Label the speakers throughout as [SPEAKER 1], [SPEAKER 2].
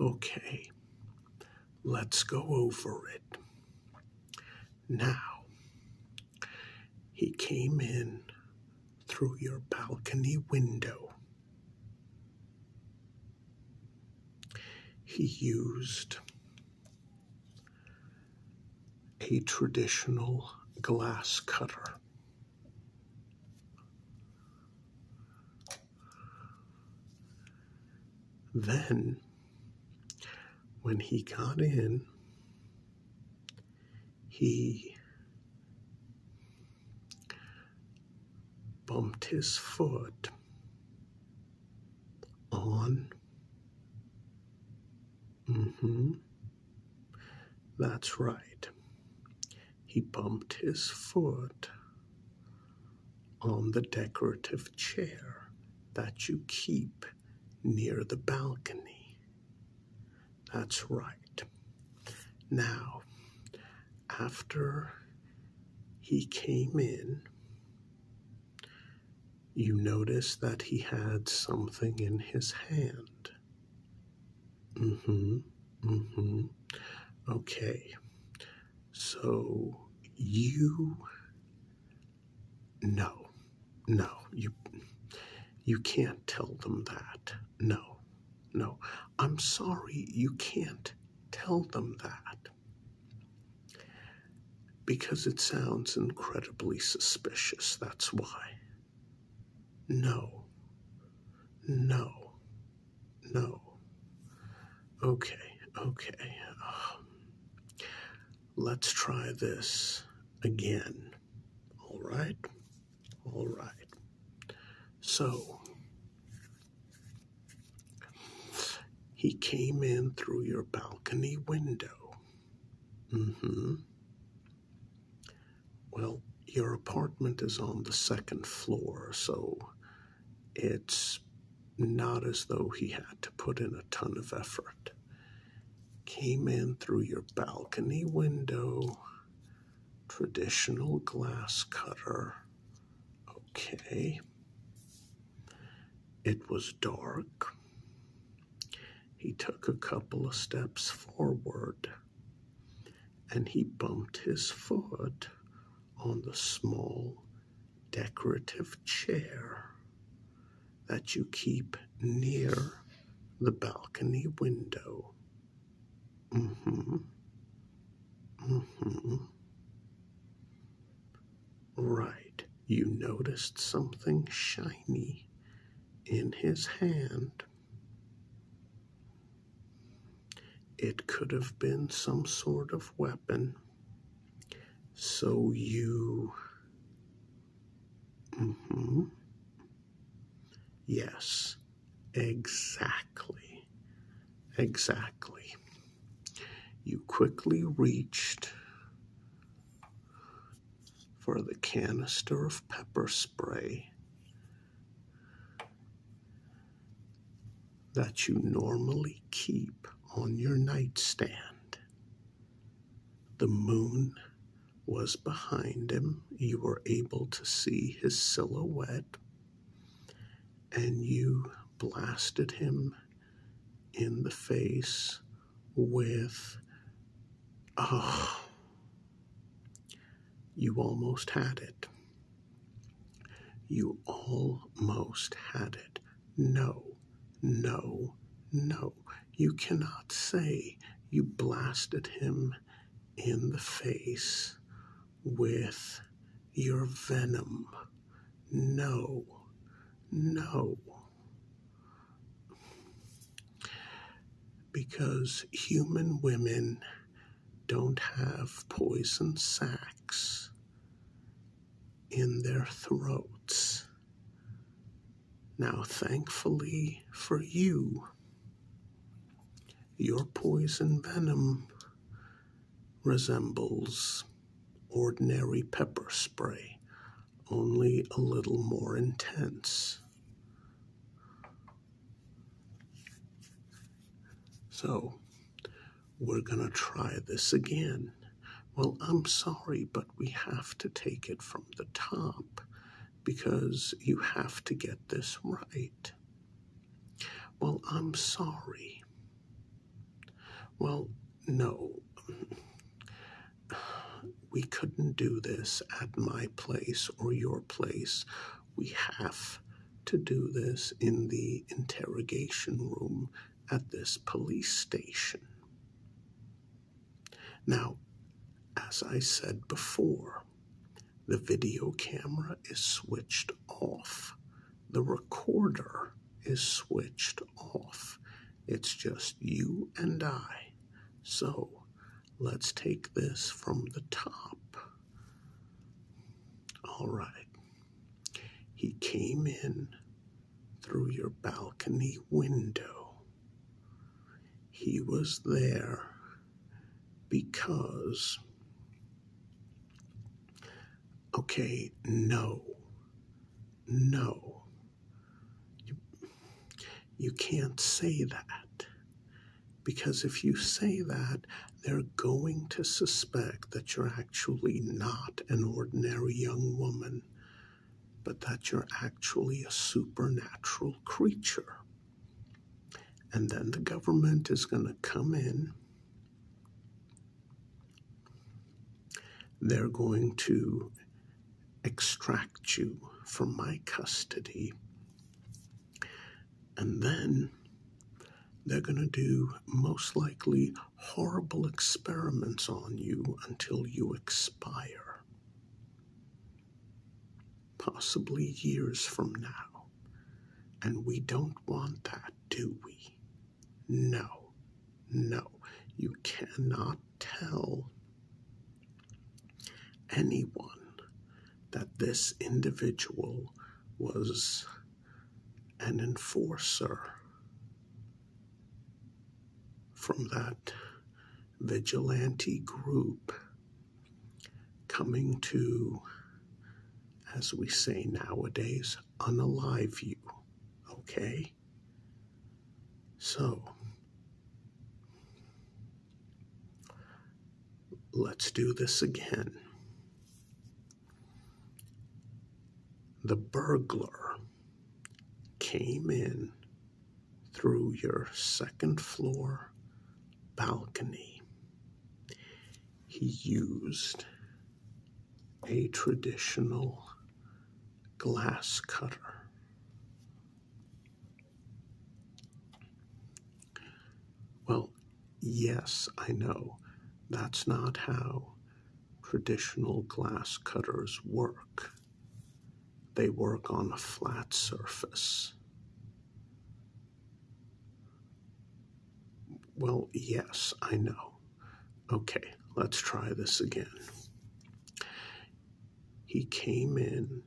[SPEAKER 1] Okay, let's go over it. Now, he came in through your balcony window. He used a traditional glass cutter. Then, when he got in, he bumped his foot on Mm-hmm. That's right. He bumped his foot on the decorative chair that you keep near the balcony. That's right. Now, after he came in, you notice that he had something in his hand. Mm-hmm. Mm-hmm. Okay. So you no, no, you you can't tell them that. No, no. I'm sorry, you can't tell them that. Because it sounds incredibly suspicious, that's why. No. No. No. Okay, okay. Um, let's try this again. All right? All right. So, he came in through your balcony window. Mm hmm. Well, your apartment is on the second floor, so it's not as though he had to put in a ton of effort. Came in through your balcony window, traditional glass cutter. Okay. It was dark. He took a couple of steps forward and he bumped his foot on the small decorative chair that you keep near the balcony window. Mm hmm. Mm hmm. Right, you noticed something shiny in his hand. It could have been some sort of weapon. So you. Mm hmm. Yes, exactly. Exactly. You quickly reached for the canister of pepper spray that you normally keep on your nightstand. The moon was behind him. You were able to see his silhouette, and you blasted him in the face with, oh, you almost had it. You almost had it. No, no, no. You cannot say you blasted him in the face with your venom. No, no. Because human women don't have poison sacs in their throats. Now, thankfully for you, your poison venom resembles ordinary pepper spray only a little more intense. So, we're going to try this again. Well, I'm sorry, but we have to take it from the top because you have to get this right. Well, I'm sorry. Well, no. we couldn't do this at my place or your place. We have to do this in the interrogation room at this police station. Now, as I said before, the video camera is switched off. The recorder is switched off. It's just you and I. So let's take this from the top. All right. He came in through your balcony window. He was there because, okay, no, no. You, you can't say that. Because if you say that, they're going to suspect that you're actually not an ordinary young woman, but that you're actually a supernatural creature. And then the government is going to come in they're going to extract you from my custody. And then they're going to do most likely horrible experiments on you until you expire. Possibly years from now. And we don't want that, do we? No, no, you cannot tell anyone that this individual was an enforcer from that vigilante group coming to, as we say nowadays, unalive you, okay? So, let's do this again. The burglar came in through your second floor balcony. He used a traditional glass cutter. Well, yes, I know, that's not how traditional glass cutters work. They work on a flat surface. Well, yes, I know. Okay, let's try this again. He came in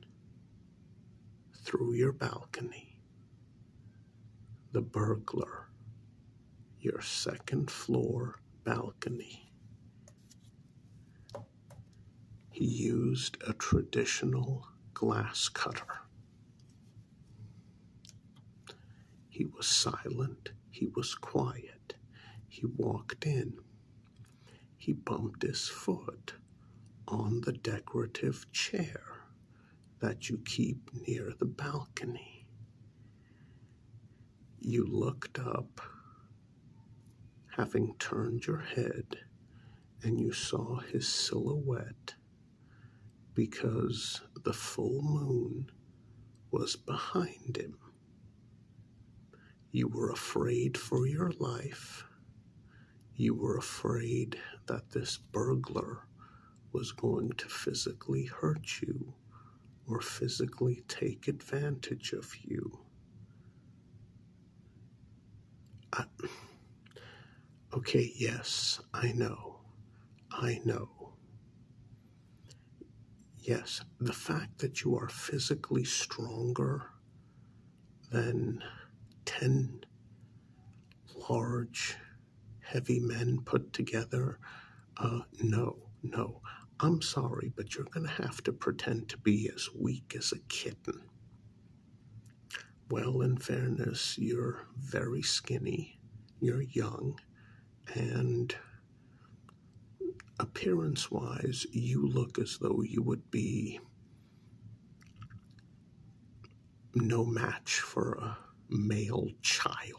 [SPEAKER 1] through your balcony. The burglar, your second floor balcony. He used a traditional glass cutter. He was silent, he was quiet. He walked in. He bumped his foot on the decorative chair that you keep near the balcony. You looked up, having turned your head, and you saw his silhouette because the full moon was behind him. You were afraid for your life. You were afraid that this burglar was going to physically hurt you or physically take advantage of you. okay, yes, I know. I know yes, the fact that you are physically stronger than 10 large, heavy men put together, uh, no, no. I'm sorry, but you're going to have to pretend to be as weak as a kitten. Well, in fairness, you're very skinny, you're young, and appearance wise, you look as though you would be no match for a male child.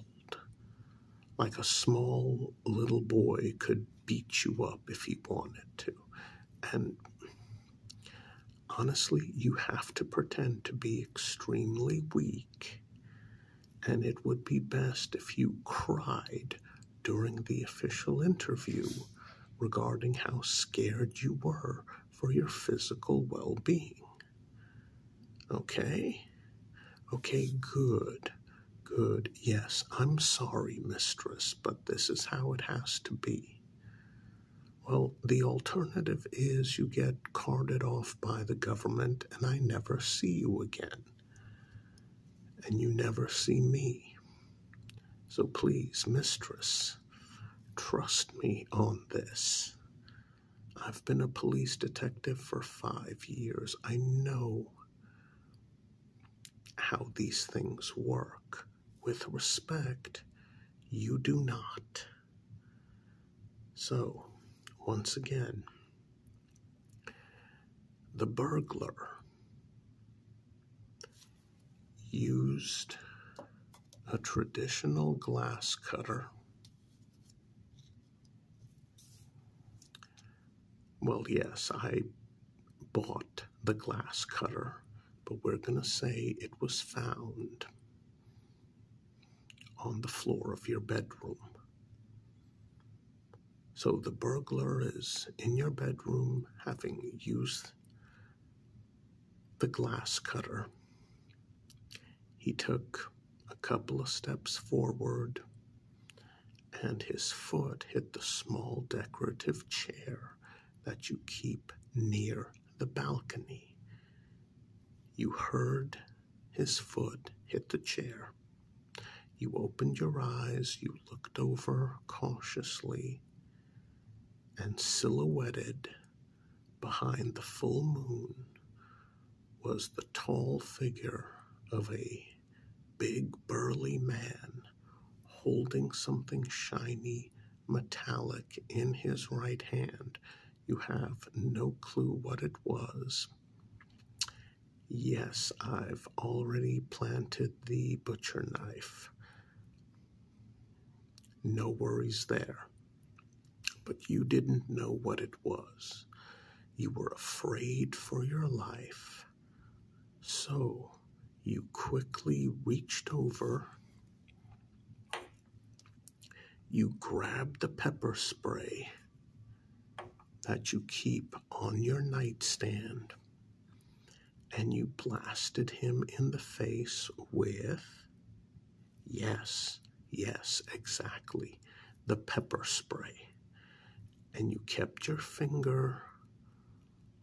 [SPEAKER 1] Like a small little boy could beat you up if he wanted to. And honestly, you have to pretend to be extremely weak and it would be best if you cried during the official interview regarding how scared you were for your physical well being. Okay? Okay, good. Good. Yes, I'm sorry, mistress, but this is how it has to be. Well, the alternative is you get carted off by the government and I never see you again. And you never see me. So please, mistress, trust me on this. I've been a police detective for five years. I know how these things work. With respect, you do not. So, once again, the burglar used a traditional glass cutter. Well, yes, I bought the glass cutter, but we're going to say it was found on the floor of your bedroom. So the burglar is in your bedroom having used the glass cutter. He took a couple of steps forward and his foot hit the small decorative chair that you keep near the balcony. You heard his foot hit the chair. You opened your eyes, you looked over cautiously, and silhouetted behind the full moon was the tall figure of a big, burly man holding something shiny, metallic in his right hand. You have no clue what it was. Yes, I've already planted the butcher knife. No worries there. But you didn't know what it was. You were afraid for your life. So you quickly reached over you grabbed the pepper spray that you keep on your nightstand and you blasted him in the face with, yes, yes, exactly, the pepper spray. And you kept your finger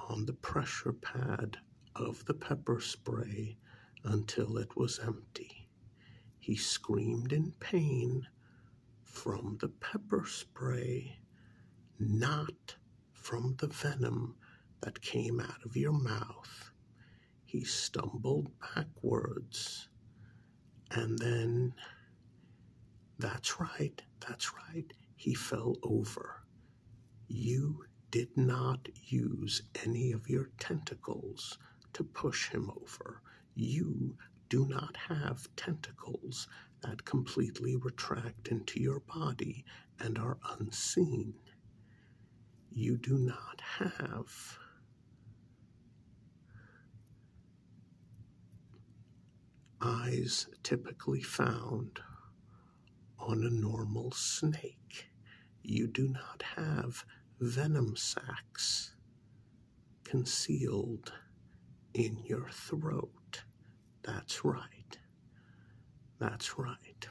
[SPEAKER 1] on the pressure pad of the pepper spray until it was empty. He screamed in pain from the pepper spray, not from the venom that came out of your mouth. He stumbled backwards. And then, that's right, that's right, he fell over. You did not use any of your tentacles to push him over. You do not have tentacles that completely retract into your body and are unseen. You do not have eyes typically found on a normal snake. You do not have venom sacs concealed in your throat. That's right. That's right.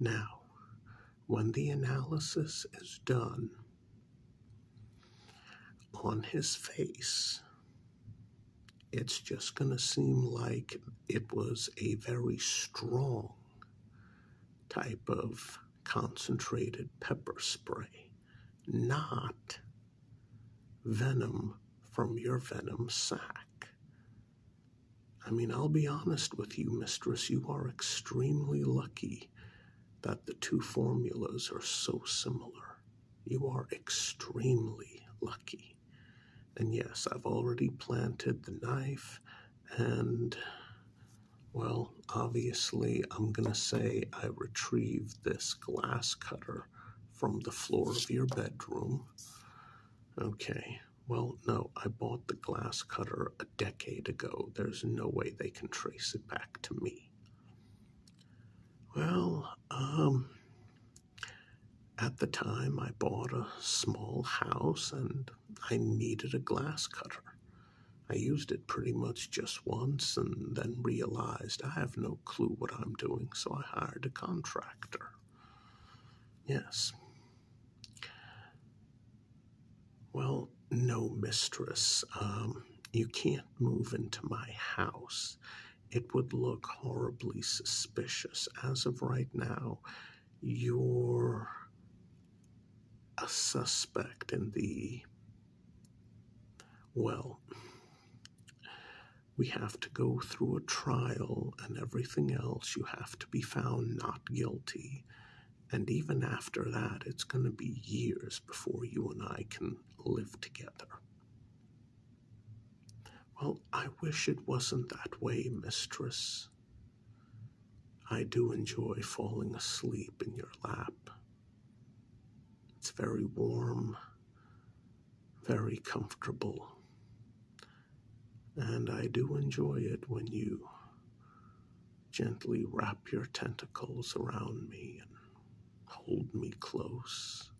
[SPEAKER 1] Now, when the analysis is done on his face, it's just going to seem like it was a very strong type of concentrated pepper spray, not venom from your venom sack. I mean, I'll be honest with you, mistress, you are extremely lucky that the two formulas are so similar. You are extremely lucky. And yes, I've already planted the knife, and well, obviously, I'm going to say I retrieved this glass cutter from the floor of your bedroom. Okay, well, no, I bought the glass cutter a decade ago. There's no way they can trace it back to me. Well, um, at the time, I bought a small house and I needed a glass cutter. I used it pretty much just once and then realized I have no clue what I'm doing, so I hired a contractor. Yes. Well, no, mistress. Um, you can't move into my house. It would look horribly suspicious. As of right now, you're a suspect in the. Well, we have to go through a trial and everything else. You have to be found not guilty. And even after that, it's going to be years before you and I can live together. Well, I wish it wasn't that way, mistress. I do enjoy falling asleep in your lap. It's very warm, very comfortable, and I do enjoy it when you gently wrap your tentacles around me and hold me close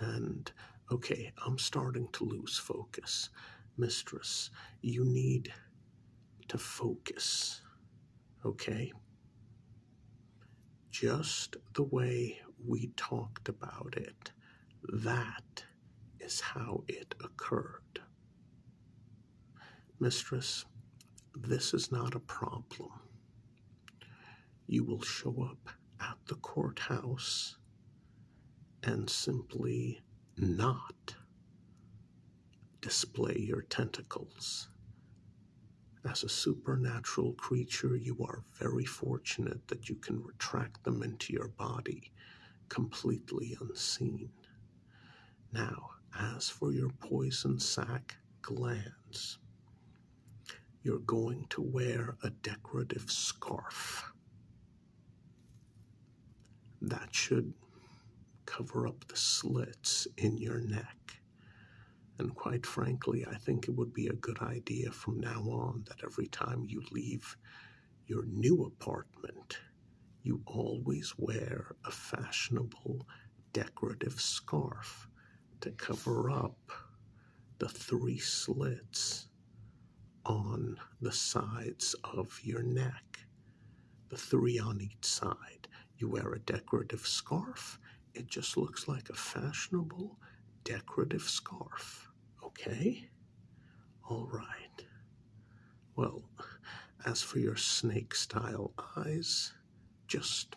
[SPEAKER 1] and okay, I'm starting to lose focus. Mistress, you need to focus, okay? Just the way we talked about it, that is how it occurred. Mistress, this is not a problem you will show up at the courthouse and simply not display your tentacles. As a supernatural creature, you are very fortunate that you can retract them into your body completely unseen. Now, as for your poison sac glands, you're going to wear a decorative scarf. That should cover up the slits in your neck. And quite frankly, I think it would be a good idea from now on that every time you leave your new apartment, you always wear a fashionable decorative scarf to cover up the three slits on the sides of your neck, the three on each side. You wear a decorative scarf, it just looks like a fashionable decorative scarf. Okay? All right. Well, as for your snake style eyes, just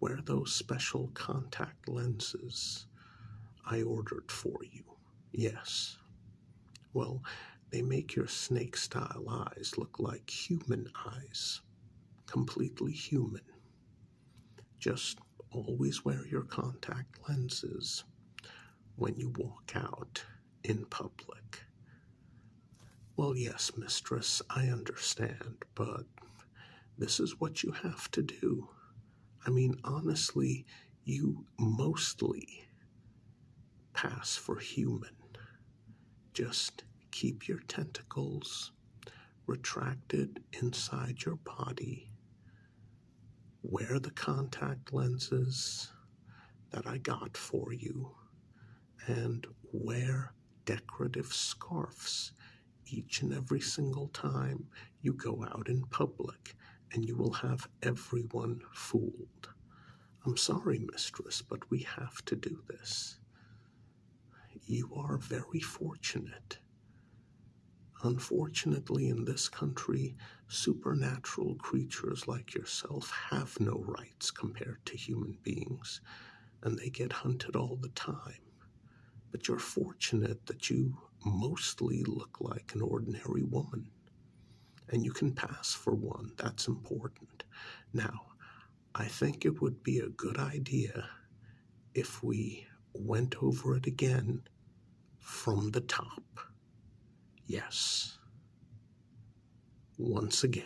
[SPEAKER 1] Wear those special contact lenses I ordered for you. Yes. Well, they make your snake style eyes look like human eyes, completely human. Just always wear your contact lenses when you walk out in public. Well, yes, mistress, I understand but this is what you have to do. I mean, honestly, you mostly pass for human. Just keep your tentacles retracted inside your body. Wear the contact lenses that I got for you and wear decorative scarves each and every single time you go out in public, and you will have everyone fooled. I'm sorry, mistress, but we have to do this. You are very fortunate. Unfortunately, in this country, supernatural creatures like yourself have no rights compared to human beings, and they get hunted all the time but you're fortunate that you mostly look like an ordinary woman. And you can pass for one. That's important. Now, I think it would be a good idea if we went over it again from the top. Yes. Once again.